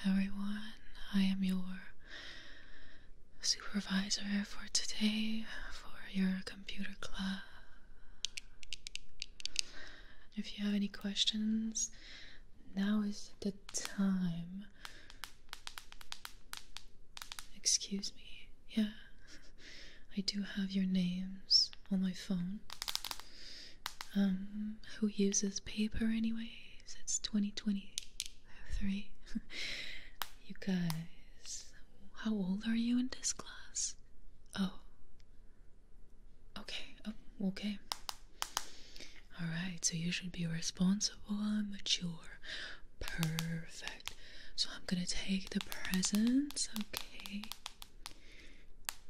Hello, everyone. I am your supervisor for today for your computer class. If you have any questions, now is the time. Excuse me. Yeah, I do have your names on my phone. Um, who uses paper anyways? It's 2023. you guys, how old are you in this class? Oh. Okay. Oh, okay. All right. So you should be responsible and mature. Perfect. So I'm going to take the presents, okay?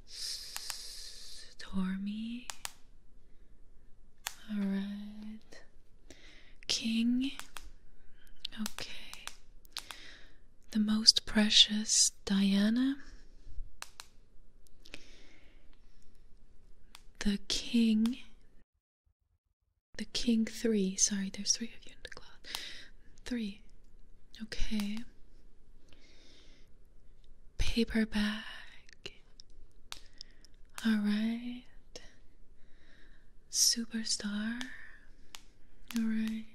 Stormy. All right. King. Okay. The most precious Diana. The king. The king three. Sorry, there's three of you in the club. Three. Okay paperback. Alright. Superstar. Alright.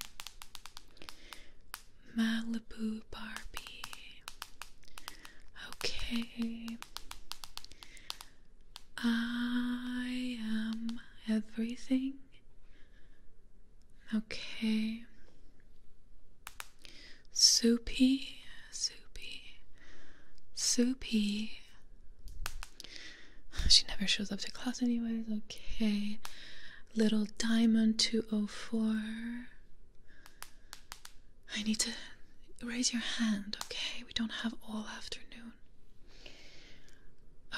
Malibu Barbie. Okay. I am everything Okay. Soupy, soupy, soupy. She never shows up to class, anyways. Okay. Little Diamond 204. I need to raise your hand, okay? We don't have all afternoon.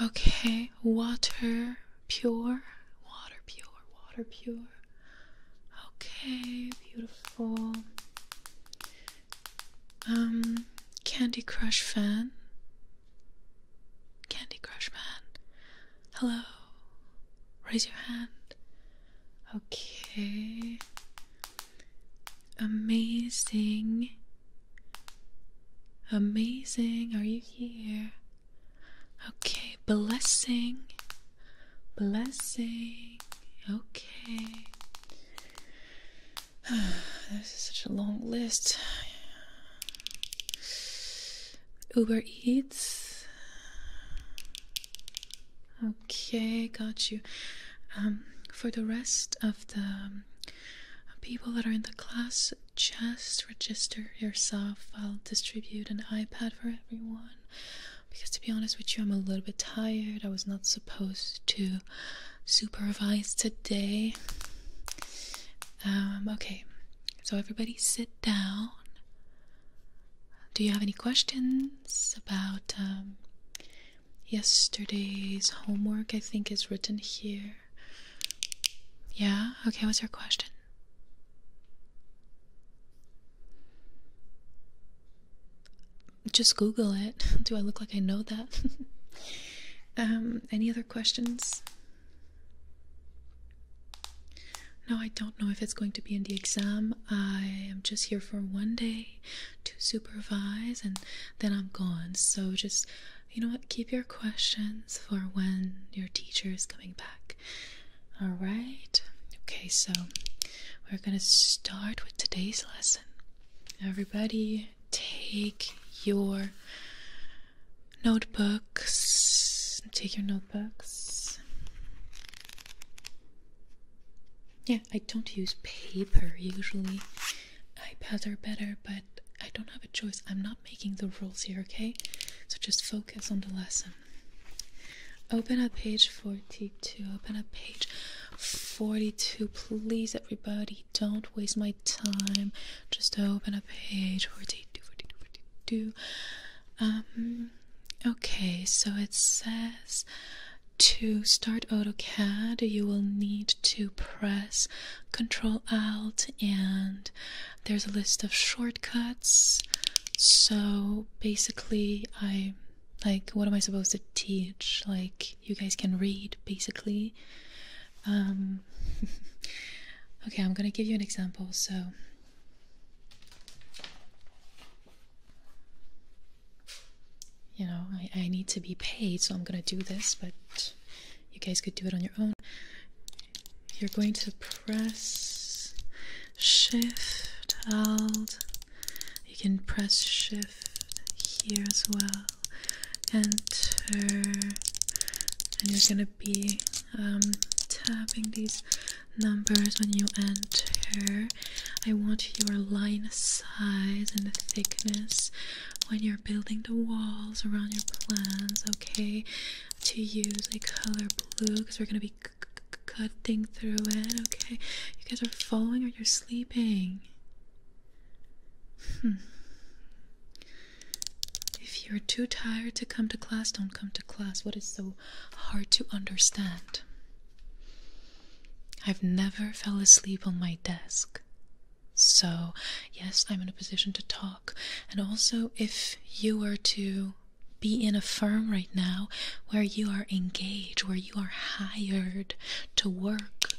Okay, water pure, water pure, water pure. Okay, beautiful. Um, Candy Crush fan? Candy Crush man? Hello? Raise your hand. Okay. Amazing. Amazing. Are you here? Okay, blessing, blessing. Okay. this is such a long list. Uber Eats. Okay, got you. Um, for the rest of the people that are in the class, just register yourself. I'll distribute an iPad for everyone. Because to be honest with you, I'm a little bit tired. I was not supposed to supervise today. Um, okay, so everybody sit down. Do you have any questions about um, yesterday's homework? I think is written here. Yeah? Okay, what's your question? Just Google it. Do I look like I know that? um, any other questions? No, I don't know if it's going to be in the exam. I am just here for one day to supervise and then I'm gone. So just, you know what, keep your questions for when your teacher is coming back. All right. Okay, so we're going to start with today's lesson. Everybody, take your notebooks. Take your notebooks. Yeah, I don't use paper usually. iPads are better, but I don't have a choice. I'm not making the rules here, okay? So just focus on the lesson. Open up page 42. Open up page 42. Please, everybody, don't waste my time. Just open up page 42, Um, okay, so it says to start AutoCAD, you will need to press Control Alt and there's a list of shortcuts. So basically, I like what am I supposed to teach? Like, you guys can read basically. Um, okay, I'm gonna give you an example. So, you know, I need to be paid, so I'm gonna do this, but you guys could do it on your own you're going to press shift alt. You can press shift here as well. Enter, and you're gonna be um, tapping these numbers when you enter. I want your line size and the thickness when you're building the walls around your plans, okay? to use a color blue because we're going to be cutting through it. Okay, you guys are falling or you're sleeping. Hmm. If you're too tired to come to class, don't come to class. What is so hard to understand? I've never fell asleep on my desk. So, yes, I'm in a position to talk and also, if you were to be in a firm right now where you are engaged, where you are hired to work,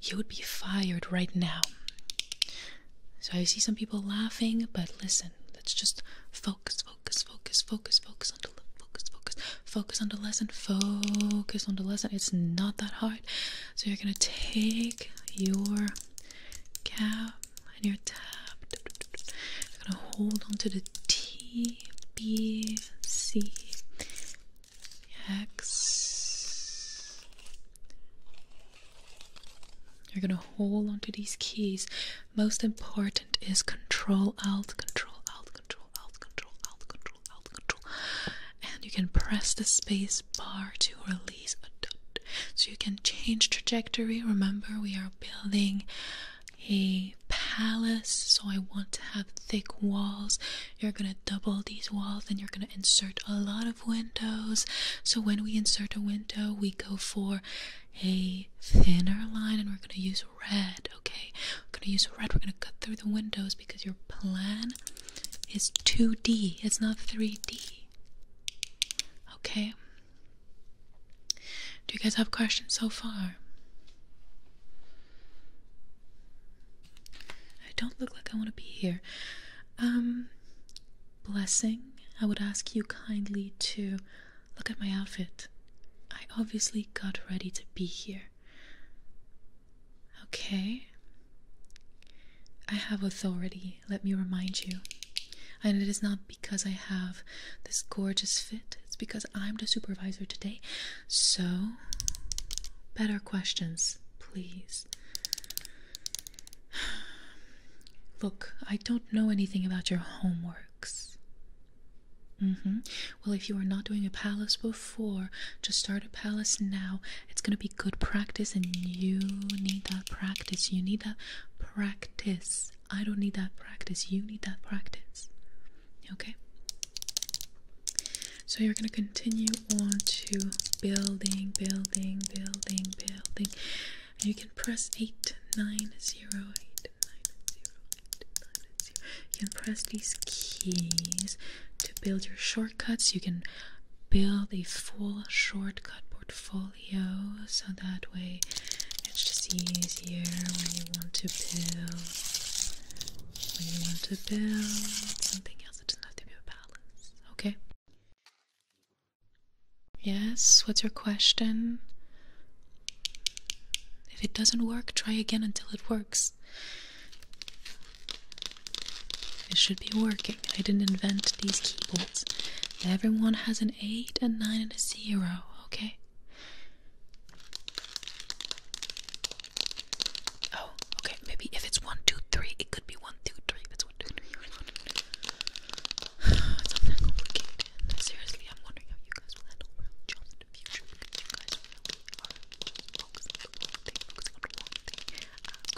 you would be fired right now. So I see some people laughing, but listen, let's just focus, focus, focus, focus, focus on the focus, focus, focus on the lesson, focus on the lesson. It's not that hard. So you're gonna take your cap and your tab. You're gonna hold on to the T, B, C, X. You're gonna hold on to these keys. Most important is Control Alt, Control Alt, Control Alt, Control Alt, Control Alt, Control. And you can press the space bar to release. So you can change trajectory. Remember, we are building a palace, so I want to have thick walls. You're gonna double these walls and you're gonna insert a lot of windows. So when we insert a window, we go for a thinner line and we're gonna use red, okay? We're gonna use red, we're gonna cut through the windows because your plan is 2D, it's not 3D. Okay. Do you guys have questions so far? I don't look like I want to be here. Um, blessing, I would ask you kindly to look at my outfit. I obviously got ready to be here. Okay, I have authority, let me remind you. And it is not because I have this gorgeous fit, it's because I'm the supervisor today. So, better questions, please. Look, I don't know anything about your homeworks. Mm-hmm. Well, if you are not doing a palace before, just start a palace now it's gonna be good practice, and you need that practice. You need that practice. I don't need that practice. You need that practice. Okay? So you're gonna continue on to building, building, building, building. And you can press 8, 9, 0, 8, 9, 0, 8, 9, 0. You can press these keys to build your short shortcuts. You can build a full shortcut portfolio so that way it's just easier when you want to build. When you want to build something else, it doesn't have to be a balance. Okay? Yes, what's your question? If it doesn't work, try again until it works. It should be working. I didn't invent these keyboards. Everyone has an 8, a 9, and a 0, okay? Oh, okay, maybe if it's 1, it could be 1, it's 1, it's complicated. Seriously, I'm wondering how you guys will handle real jobs in the future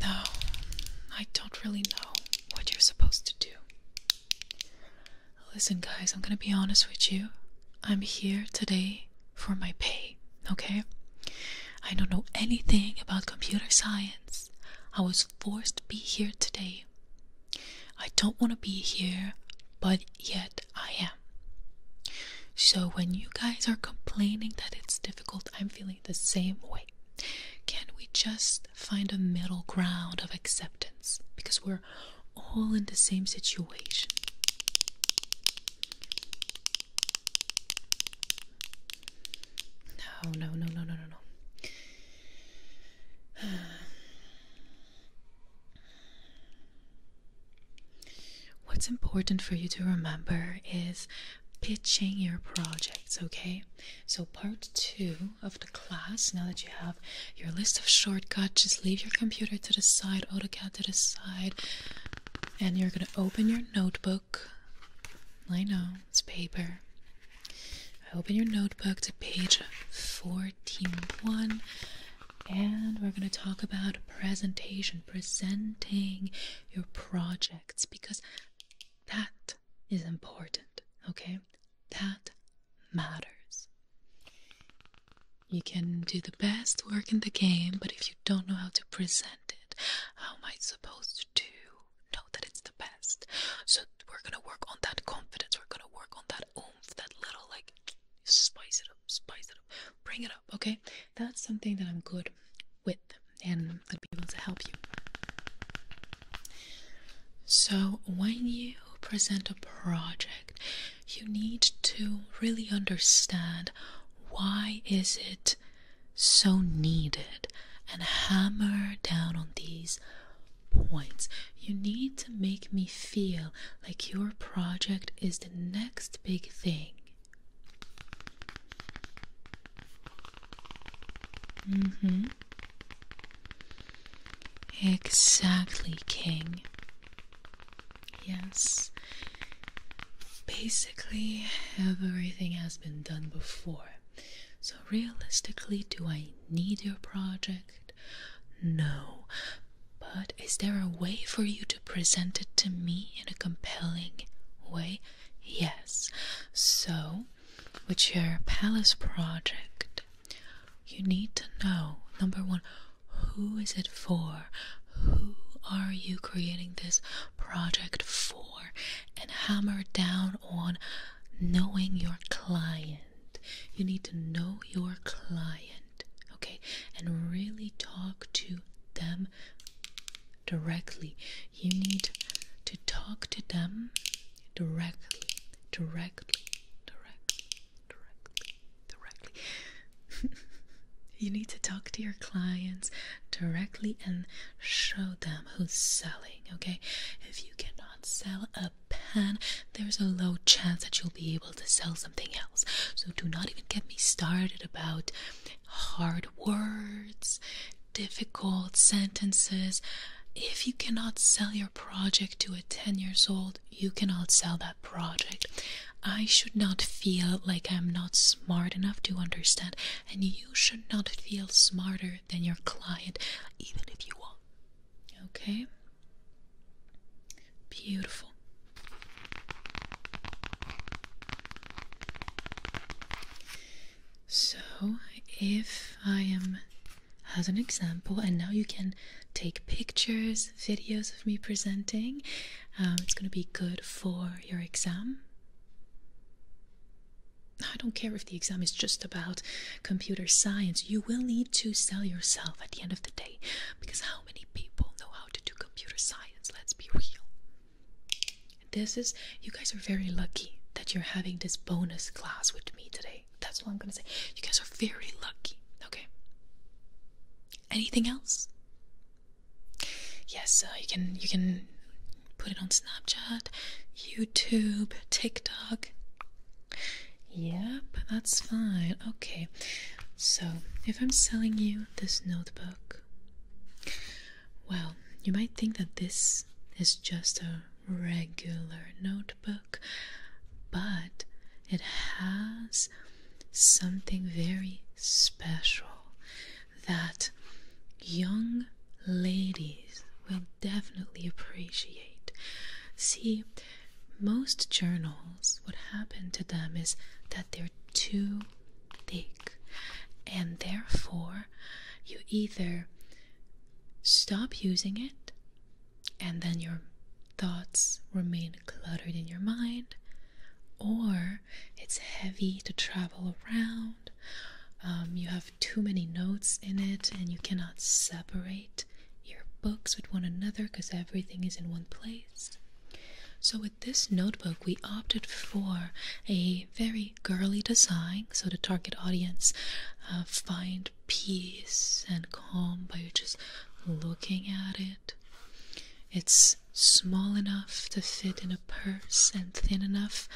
No, I don't really know what you're supposed to do. Listen, guys, I'm gonna be honest with you. I'm here today for my pay, okay? I don't know anything about computer science. I was forced to be here today. I don't want to be here, but yet I am. So, when you guys are complaining that it's difficult, I'm feeling the same way. Can we just find a middle ground of acceptance? Because we're all in the same situation. no, no, no, no, no, no. What's important for you to remember is pitching your projects, okay? So, part two of the class, now that you have your list of shortcuts, just leave your computer to the side, AutoCAD to the side, and you're gonna open your notebook. I know, it's paper. Open your notebook to page 141, and we're going to talk about presentation, presenting your project because that is important, okay? That matters. You can do the best work in the game, but if you don't know how to present it, how am I supposed to know that it's the best? So we're gonna work on that confidence, we're gonna work on that oomph, that little like spice it up, spice it up bring it up, okay? That's something that I'm good with and I'll be able to help you. So, when you present a project, you need to really understand why is it so needed and hammer down on these points. You need to make me feel like your project is the next big thing Mm-hmm. Exactly, King. Yes. Basically, everything has been done before. So, realistically, do I need your project? No. But is there a way for you to? present it to me in a compelling way? Yes. So, with your palace project, you need to know number one, who is it for? Who are you creating this project for? And hammer down on knowing your client. You need to know your client, okay? And really talk to them directly. You need to talk to them directly, directly, directly, directly, directly. you need to talk to your clients directly and show them who's selling, okay? If you cannot sell a pen, there's a low chance that you'll be able to sell something else. So do not even get me started about hard words, difficult sentences. If you cannot sell your project to a 10 years old, you cannot sell that project. I should not feel like I'm not smart enough to understand, and you should not feel smarter than your client, even if you are. Okay? Beautiful. So, if I am as an example, and now you can take pictures, videos of me presenting, um, it's going to be good for your exam. I don't care if the exam is just about computer science, you will need to sell yourself at the end of the day because how many people know how to do computer science? Let's be real. This is, you guys are very lucky that you're having this bonus class with me today. That's what I'm gonna say. You guys are very lucky, okay? Anything else? Yes, uh, you can you can put it on Snapchat, YouTube, TikTok. Yep, that's fine. Okay. So, if I'm selling you this notebook? Well, you might think that this is just a regular notebook, but it has something very special that young ladies will definitely appreciate. See, most journals, what happened to them is that they're too thick, and therefore you either stop using it and then your thoughts remain cluttered in your mind, or it's heavy to travel around. Um, you have too many notes in it, and you cannot separate your books with one another because everything is in one place. So, with this notebook, we opted for a very girly design, so the target audience uh, find peace and calm by just looking at it. It's small enough to fit in a purse and thin enough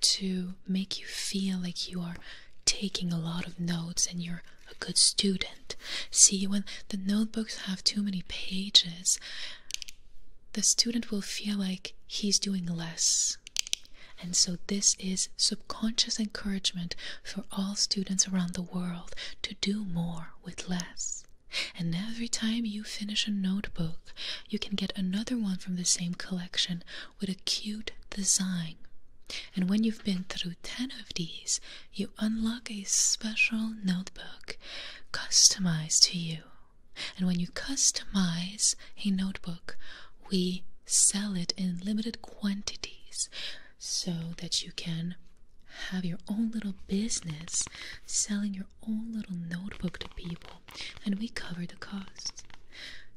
to make you feel like you are taking a lot of notes and you're a good student. See, when the notebooks have too many pages, the student will feel like he's doing less. And so, this is subconscious encouragement for all students around the world to do more with less. And every time you finish a notebook, you can get another one from the same collection with a cute design. And when you've been through 10 of these, you unlock a special notebook customized to you. And when you customize a notebook, we sell it in limited quantities so that you can have your own little business selling your own little notebook to people. And we cover the costs.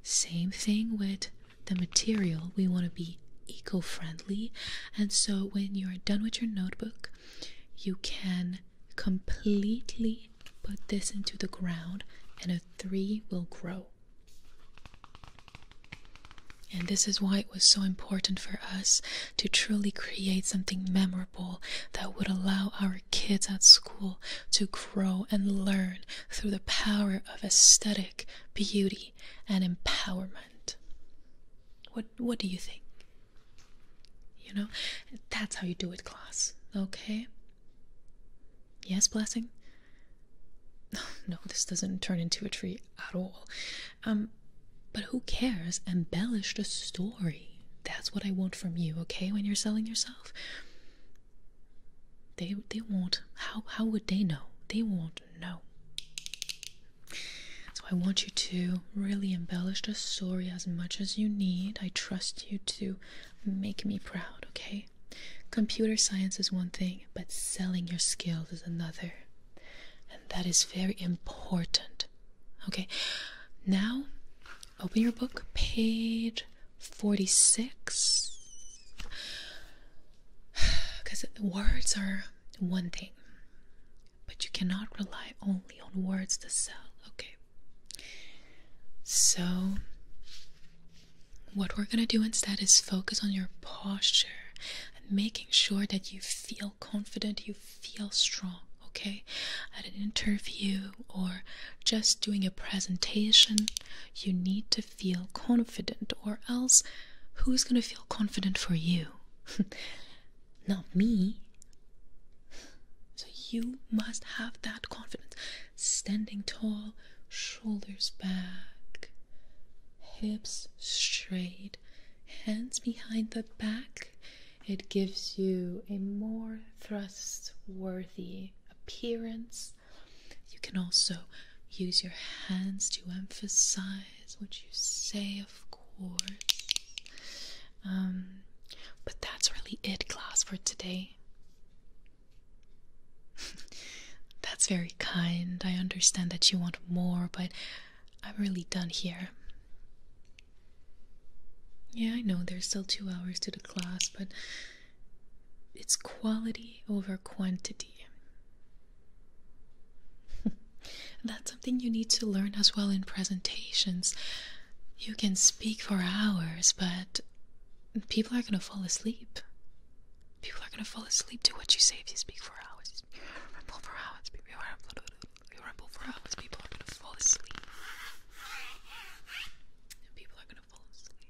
Same thing with the material. We want to be eco friendly. And so when you're done with your notebook, you can completely put this into the ground and a tree will grow. And this is why it was so important for us to truly create something memorable that would allow our kids at school to grow and learn through the power of aesthetic, beauty, and empowerment. What, what do you think? You know, that's how you do it, class. Okay? Yes, blessing? No, this doesn't turn into a tree at all. Um, but who cares? Embellish the story. That's what I want from you, okay, when you're selling yourself. They they won't how how would they know? They won't know. So I want you to really embellish the story as much as you need. I trust you to make me proud, okay? Computer science is one thing, but selling your skills is another. And that is very important. Okay, now open your book, page 46. Because words are one thing, but you cannot rely only on words to sell. Okay. So, what we're gonna do instead is focus on your posture and making sure that you feel confident, you feel strong. Okay, at an interview or just doing a presentation, you need to feel confident, or else who's gonna feel confident for you? not me. So you must have that confidence. Standing tall, shoulders back, hips straight, hands behind the back. It gives you a more thrust-worthy appearance. You can also use your hands to emphasize what you say, of um, but that's really it, class, for today. that's very kind. I understand that you want more, but I'm really done here. Yeah, I know there's still two hours to the class, but it's quality over quantity. That's something you need to learn as well in presentations. You can speak for hours, but people are going to fall asleep. People are going to fall asleep to what you say if you speak for hours. You ramble for hours. People are going to fall asleep. people are going to fall asleep.